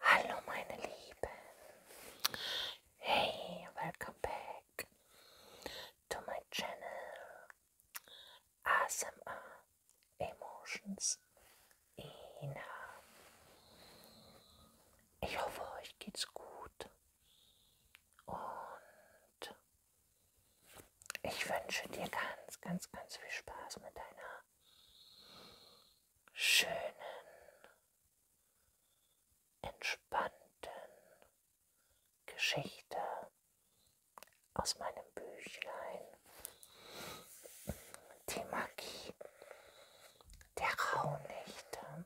Hallo meine Lieben. Hey, welcome back to my channel ASMR Emotions Ina. Ich hoffe, euch geht's gut. Und ich wünsche dir ganz, ganz, ganz viel Spaß mit deiner schönen, entspannten Geschichte aus meinem Büchlein. Die Magie der Rauhnächte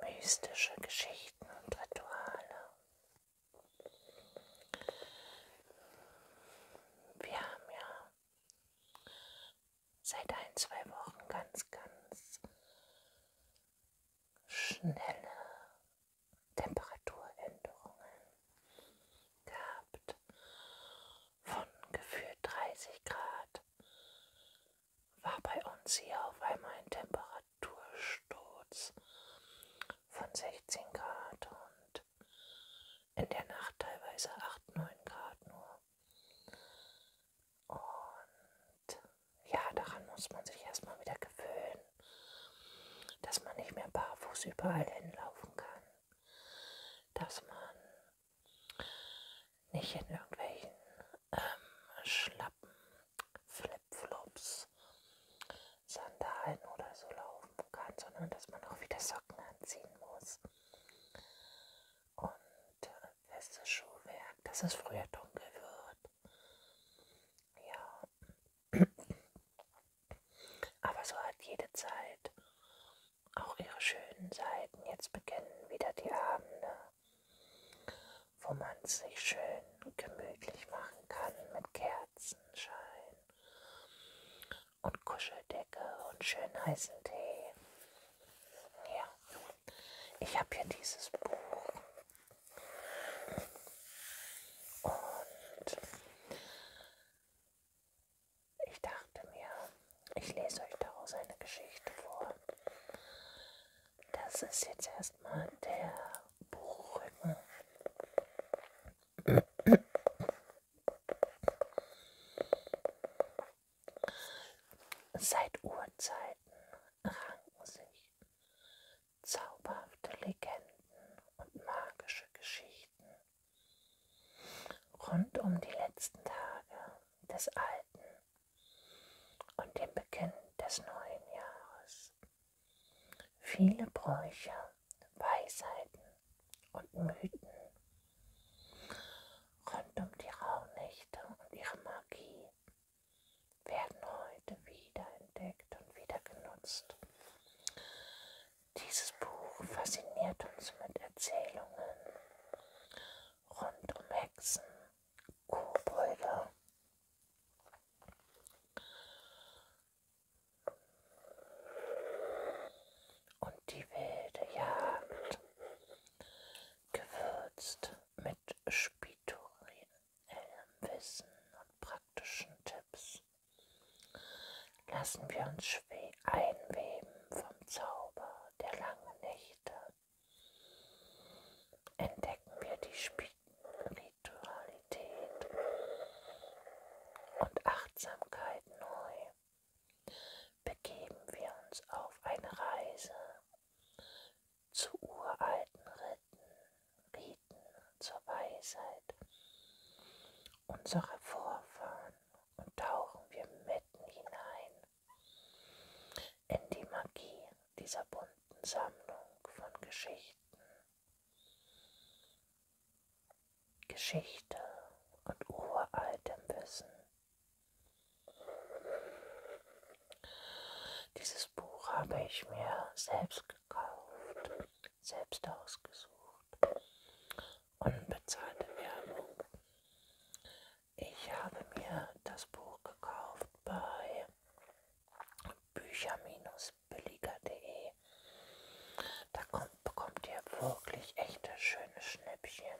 mystische Geschichten und Rituale. Wir haben ja seit ein, zwei Wochen ganz, ganz schnelle Temperaturänderungen gehabt von gefühlt 30 Grad war bei uns hier auf einmal ein Temperatursturz von 16 Grad und in der Nacht teilweise 8, 9 Grad nur. Und ja, daran muss man sich erstmal wieder gewöhnen, dass man nicht mehr barfuß überall hinlaufen kann, dass man nicht in irgendwelchen ähm, Schlappen, Flipflops, Sandalen oder so laufen kann, sondern dass man auch wieder Socken anziehen muss. Und äh, festes Schuhwerk, dass es früher dunkel wird. Ja. Aber so hat jede Zeit auch ihre schönen Seiten. Jetzt beginnen wieder die Abende wo man sich schön gemütlich machen kann mit Kerzenschein und Kuscheldecke und schön heißen Tee. Ja, ich habe hier dieses Buch und ich dachte mir, ich lese euch daraus eine Geschichte vor. Das ist jetzt erstmal der Buchrücken. Seit Urzeiten ranken sich zauberhafte Legenden und magische Geschichten rund um die letzten Tage des alten und dem Beginn des neuen Jahres. Viele Bräuche, Weisheiten und Mythen rund um die Rauhnächte und ihre Magie werden heute wieder entdeckt und wieder genutzt. Dieses Buch fasziniert uns mit Erzählungen rund um Hexen, Kobolde. Und die wilde Jagd, gewürzt mit spirituellem Wissen und praktischen Tipps, lassen wir uns einweben vom Zauber der langen Nächte entdecken wir die Spiritualität und Achtsamkeit neu, begeben wir uns auf eine Reise zu uralten Riten, Riten zur Weisheit unserer Vorfahren und tauchen wir mitten hinein in die Magie dieser bunten Sammlung von Geschichten. Geschichte und uraltem Wissen. Dieses Buch habe ich mir selbst gekauft, selbst ausgesucht. Unbezahlte Werbung. Ich habe mir das Buch gekauft bei bücher-billiger.de. Da kommt, bekommt ihr wirklich echte schöne Schnäppchen.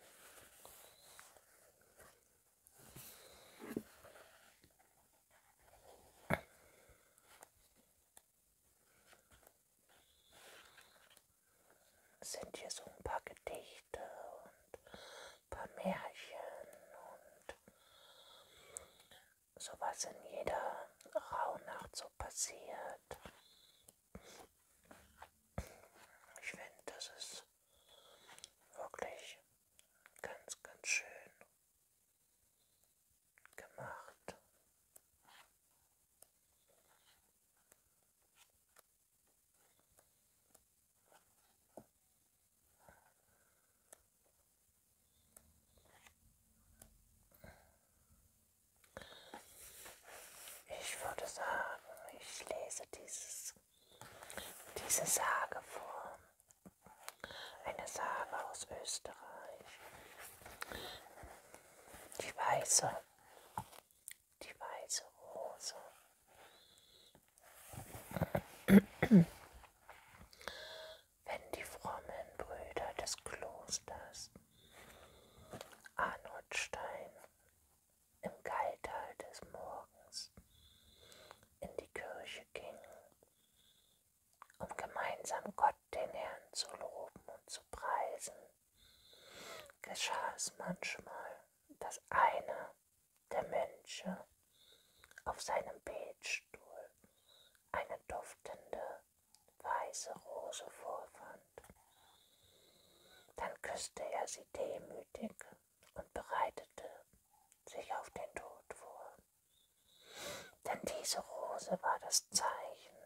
Sind hier so ein paar Gedichte und paar Märchen und sowas in jeder Rauhnacht so passiert. Ich finde, das ist wirklich ganz, ganz schön gemacht. Ich würde sagen, ich lese dieses, diese Sage vor. Eine Sage aus Österreich. Die Weiße die weiße Rose. Wenn die frommen Brüder des Klosters Arnoldstein im Geiltal des Morgens in die Kirche gingen, um gemeinsam Gott den Herrn zu loben und zu preisen, geschah es manchmal, dass einer der Mönche auf seinem Betstuhl eine duftende weiße Rose vorfand. Dann küsste er sie demütig und bereitete sich auf den Tod vor. Denn diese Rose war das Zeichen,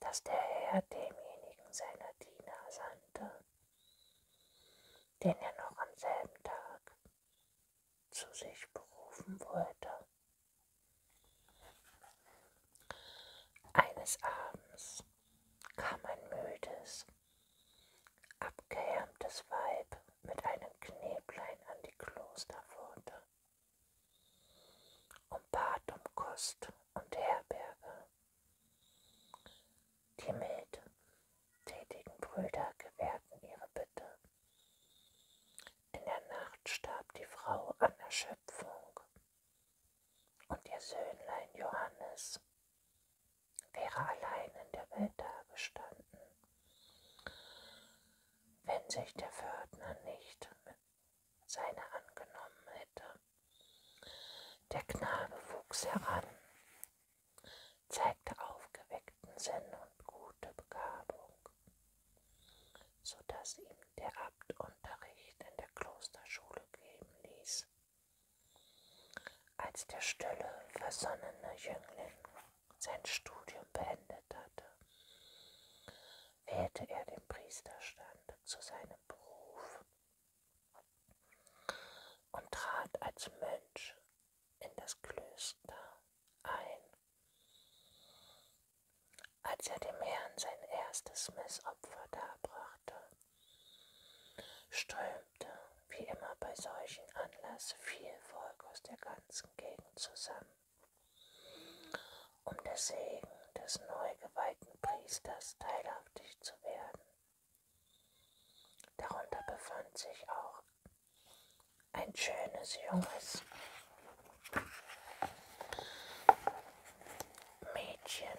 das der Herr demjenigen seiner Diener sandte, den er noch am selben Tag zu sich berufen wollte. Eines Abends kam ein müdes, abgehärmtes Weib mit einem Knäblein an die Klosterpforte und bat um Kost und Herberge. Die mild tätigen Brüder gewährten ihre Bitte. In der Nacht starb die Frau an Erschöpfung und ihr Söhnlein Johannes wäre allein in der Welt dagestanden, wenn sich der Pförtner nicht seiner angenommen hätte. Der Knabe wuchs heran, zeigte aufgeweckten Sinn und gute Begabung, so dass ihm der Abt Unterricht in der Klosterschule geben ließ. Als der stille, versonnene Jüngling sein Studium beendet hatte, wählte er den Priesterstand zu seinem Beruf und trat als Mönch in das Klöster ein. Als er dem Herrn sein erstes Messopfer darbrachte, strömte, wie immer bei solchen Anlass, viel Volk aus der ganzen Gegend zusammen, um des Segen des neu geweihten Priesters teilhaftig zu werden. Darunter befand sich auch ein schönes junges Mädchen,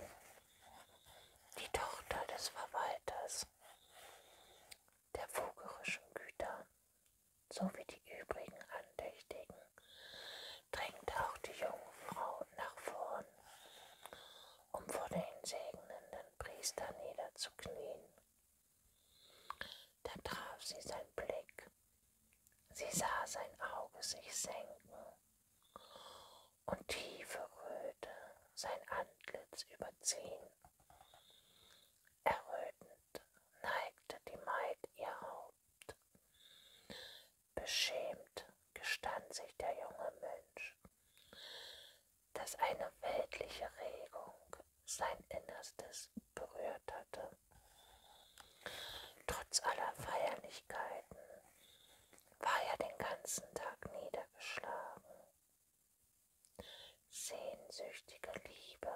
die Tochter des Verwalters der vogerischen Güter sowie die übrigen Andächtigen drängt auch die jungen Frauen nach vorn, um vor den segnenden Priester niederzuknien. Da traf sie sein Blick, sie sah sein Auge sich senken und tiefe Röte sein Antlitz überziehen. Errötend neigte die Maid ihr Haupt. Beschämt gestand sich der junge Mensch, dass eine weltliche Regung sein Innerstes berührt hatte. Trotz aller Feierlichkeiten war er den ganzen Tag niedergeschlagen. Sehnsüchtige Liebe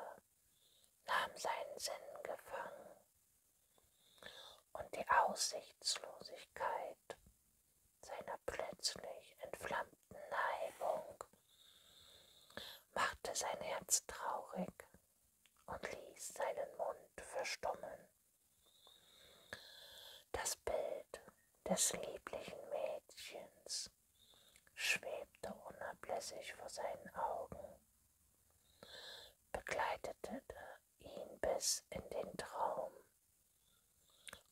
nahm seinen Sinn gefangen und die Aussichtslosigkeit seiner plötzlich entflammten Neigung machte sein Herz traurig und ließ seinen Mund verstummen. Das Bild des lieblichen Mädchens schwebte unablässig vor seinen Augen, begleitete ihn bis in den Traum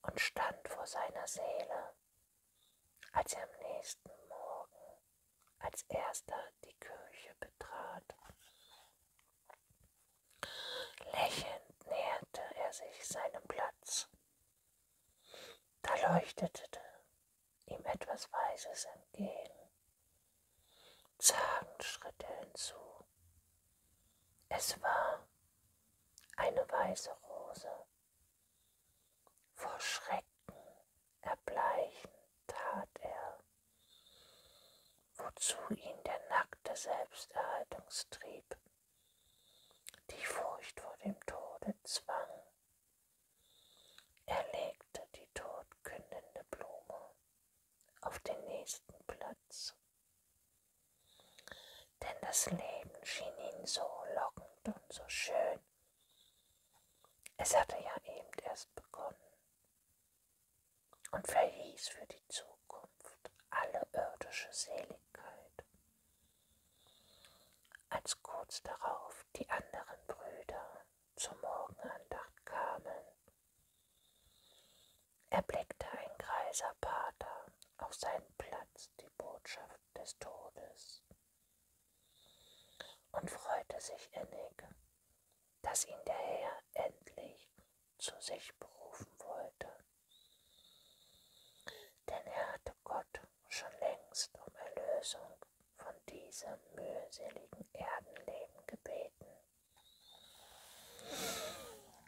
und stand vor seiner Seele, als er am nächsten Morgen als erster die Kirche betrat. Lächelnd näherte er sich seinem Platz. Da leuchtete ihm etwas Weißes entgegen zagen Schritte hinzu. Es war eine weiße Rose. Vor Schrecken erbleichen tat er, wozu ihn der nackte Selbsterhaltungstrieb, die Furcht vor dem Tode zwang. Er legte die todkündende Blume auf den nächsten Platz. Denn das Leben schien ihn so lockend und so schön. Es hatte ja eben erst begonnen und verließ für die Zukunft alle irdische Seligkeit. Als kurz darauf die anderen Brüder zur Morgenandacht kamen, erblickte ein greiser Pater auf seinem Platz die Botschaft des Todes und freute sich innig, dass ihn der Herr endlich zu sich berufen wollte. Denn er hatte Gott schon längst um Erlösung von diesem mühseligen Erdenleben gebeten.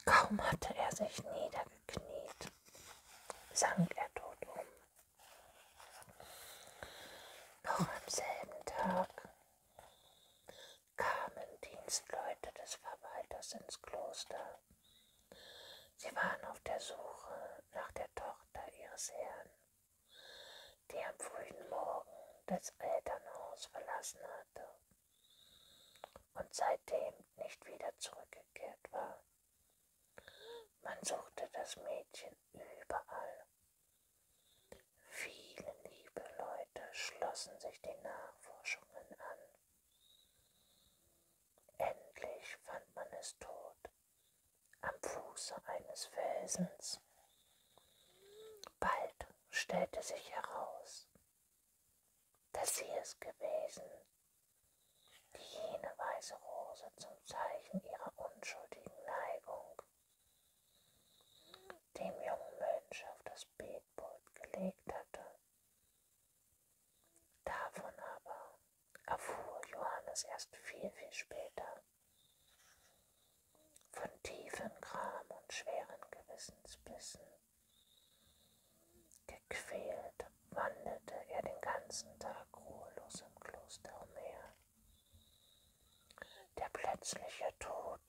Kaum hatte er sich niedergekniet, sank er tot um. Noch am selben Tag kamen Dienstleute des Verwalters ins Kloster. Sie waren auf der Suche nach der Tochter ihres Herrn, die am frühen Morgen das Elternhaus verlassen hatte und seitdem nicht wieder zurückgekehrt war. Man suchte das Mädchen überall. Viele liebe Leute schlossen sich den Nachforschungen an. Endlich fand man es tot am Fuße eines Felsens. Bald stellte sich heraus, dass sie es gewesen, die jene weiße Rose zum Zeichen ihrer unschuldigen Neigung dem jungen Mensch auf das Betpult gelegt hatte. Davon aber erfuhr Johannes erst viel, viel später von tiefen Gram und schweren Gewissensbissen. Gequält wanderte er den ganzen Tag ruhelos im Kloster umher. Der plötzliche Tod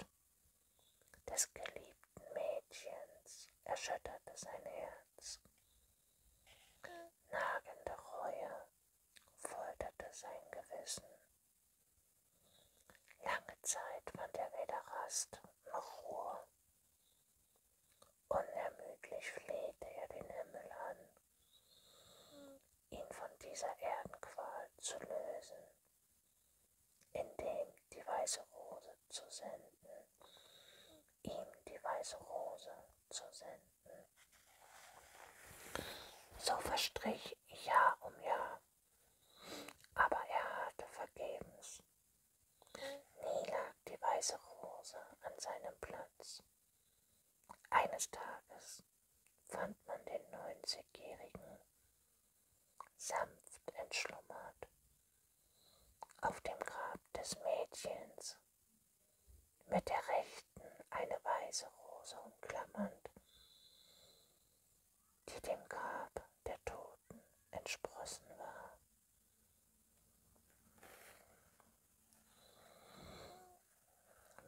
des geliebten Mädchens erschütterte sein Herz. Nagende Reue folterte sein Gewissen. Lange Zeit fand er weder Rast noch Ruhe. Unermüdlich flehte er den Himmel an, ihn von dieser Erdenqual zu lösen, indem die weiße Rose zu senden, ihm die weiße Rose zu senden. So verstrich Jahr um Jahr aber er hatte vergebens. Nie lag die weiße Rose an seinem Platz. Eines Tages fand man den 90-Jährigen sanft entschlummert auf dem Grab des Mädchens, mit der rechten eine weiße Rose umklammernd die dem Grab der Toten entsprossen war.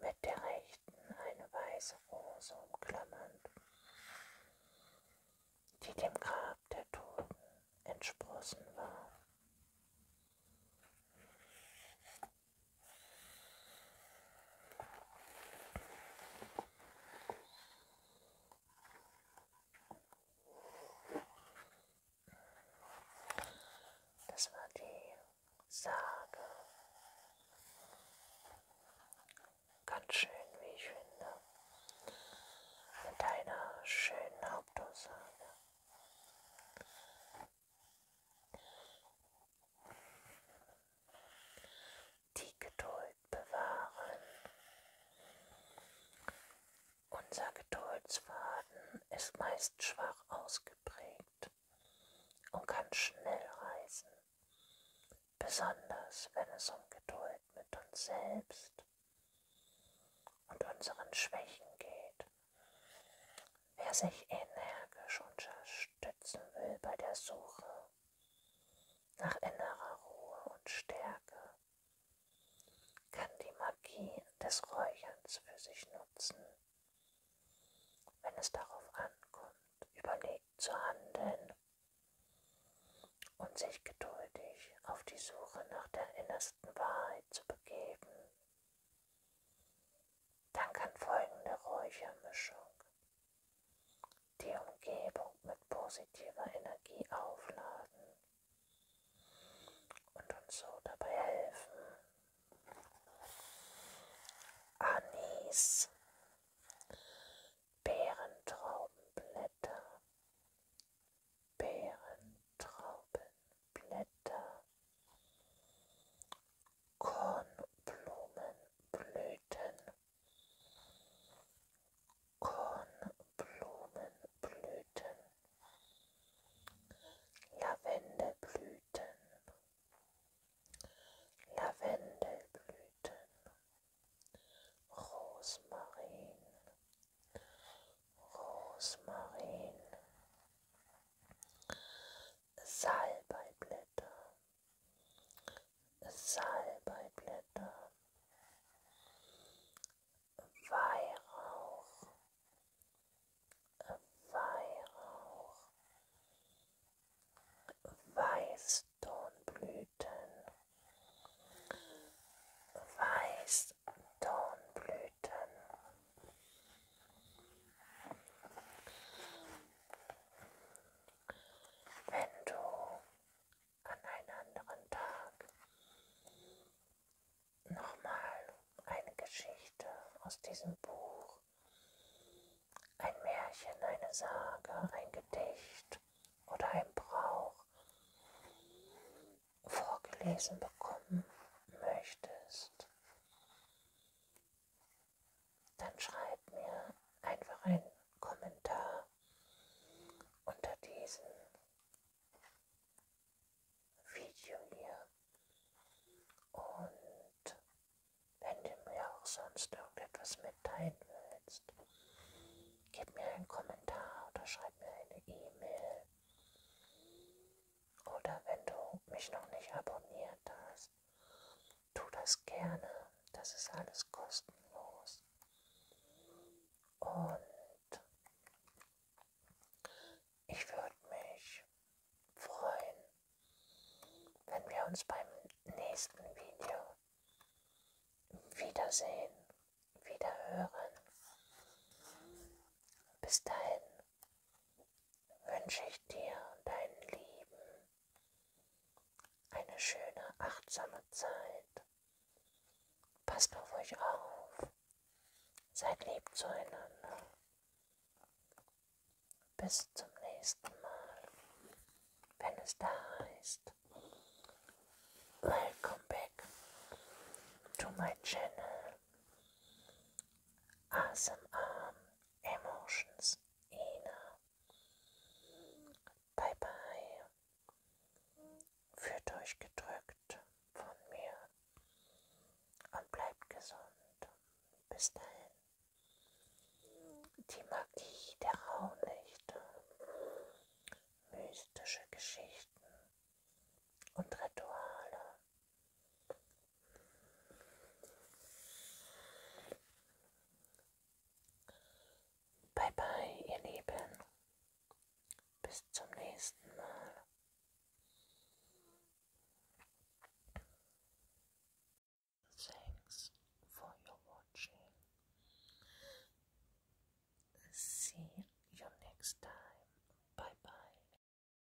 Mit der rechten eine weiße Rose umklammernd, die dem Grab der Toten entsprossen war. Das war die Sage. Ganz schön, wie ich finde. Mit einer schönen Hauptaussage. Die Geduld bewahren. Unser Geduldsfaden ist meist schwach ausgeprägt und kann schnell reißen, besonders wenn es um Geduld mit uns selbst und unseren Schwächen geht. Wer sich energisch unterstützen will bei der Suche nach innerer Ruhe und Stärke, kann die Magie des Räucherns für sich nutzen. Wenn es darauf ankommt, überlegt zu handeln und sich geduldig auf die Suche nach der innersten Wahrheit zu begeben. Dann kann folgende Räuchermischung die Umgebung mit positiver Energie aufladen und uns so dabei helfen. Anis, Beerentraubenblätter, Beerentraubenblätter, Kornblumenblüten Kornblumenblüten Lavendelblüten Lavendelblüten Rosmarin Rosmarin Salbeiblätter, Salbeiblätter, Weihrauch, Weihrauch, Weißdornblüten, Weißdornblüten. Wenn du an einem anderen Tag nochmal eine Geschichte aus diesem Buch, ein Märchen, eine Sage, ein Gedicht oder ein Brauch vorgelesen bekommen möchtest, dann schreib mir einfach einen Kommentar unter diesem Video hier. Und wenn du mir auch sonst irgendetwas mitteilen willst, gib mir einen Kommentar oder schreib mir eine E-Mail. Oder wenn du mich noch nicht abonniert hast, das. Tu das gerne. Das ist alles kostenlos. Und ich würde mich freuen, wenn wir uns beim nächsten Video wiedersehen, wiederhören. Bis dahin, wünsche ich dir und deinen Lieben eine schöne, achtsame Zeit. Passt auf euch auf. Seid lieb zueinander. Bis zum nächsten Mal, wenn es da heißt. Welcome back to my channel. ASMR, Emotions, Ina. Bye bye. Führt euch gedrückt von mir und bleibt gesund. Bis dahin. Die Magie der Raunichte, mystische Geschichten und Rituale Bye bye, ihr Lieben. Bis zum nächsten Mal. Thanks for your watching. See you next time. Bye bye.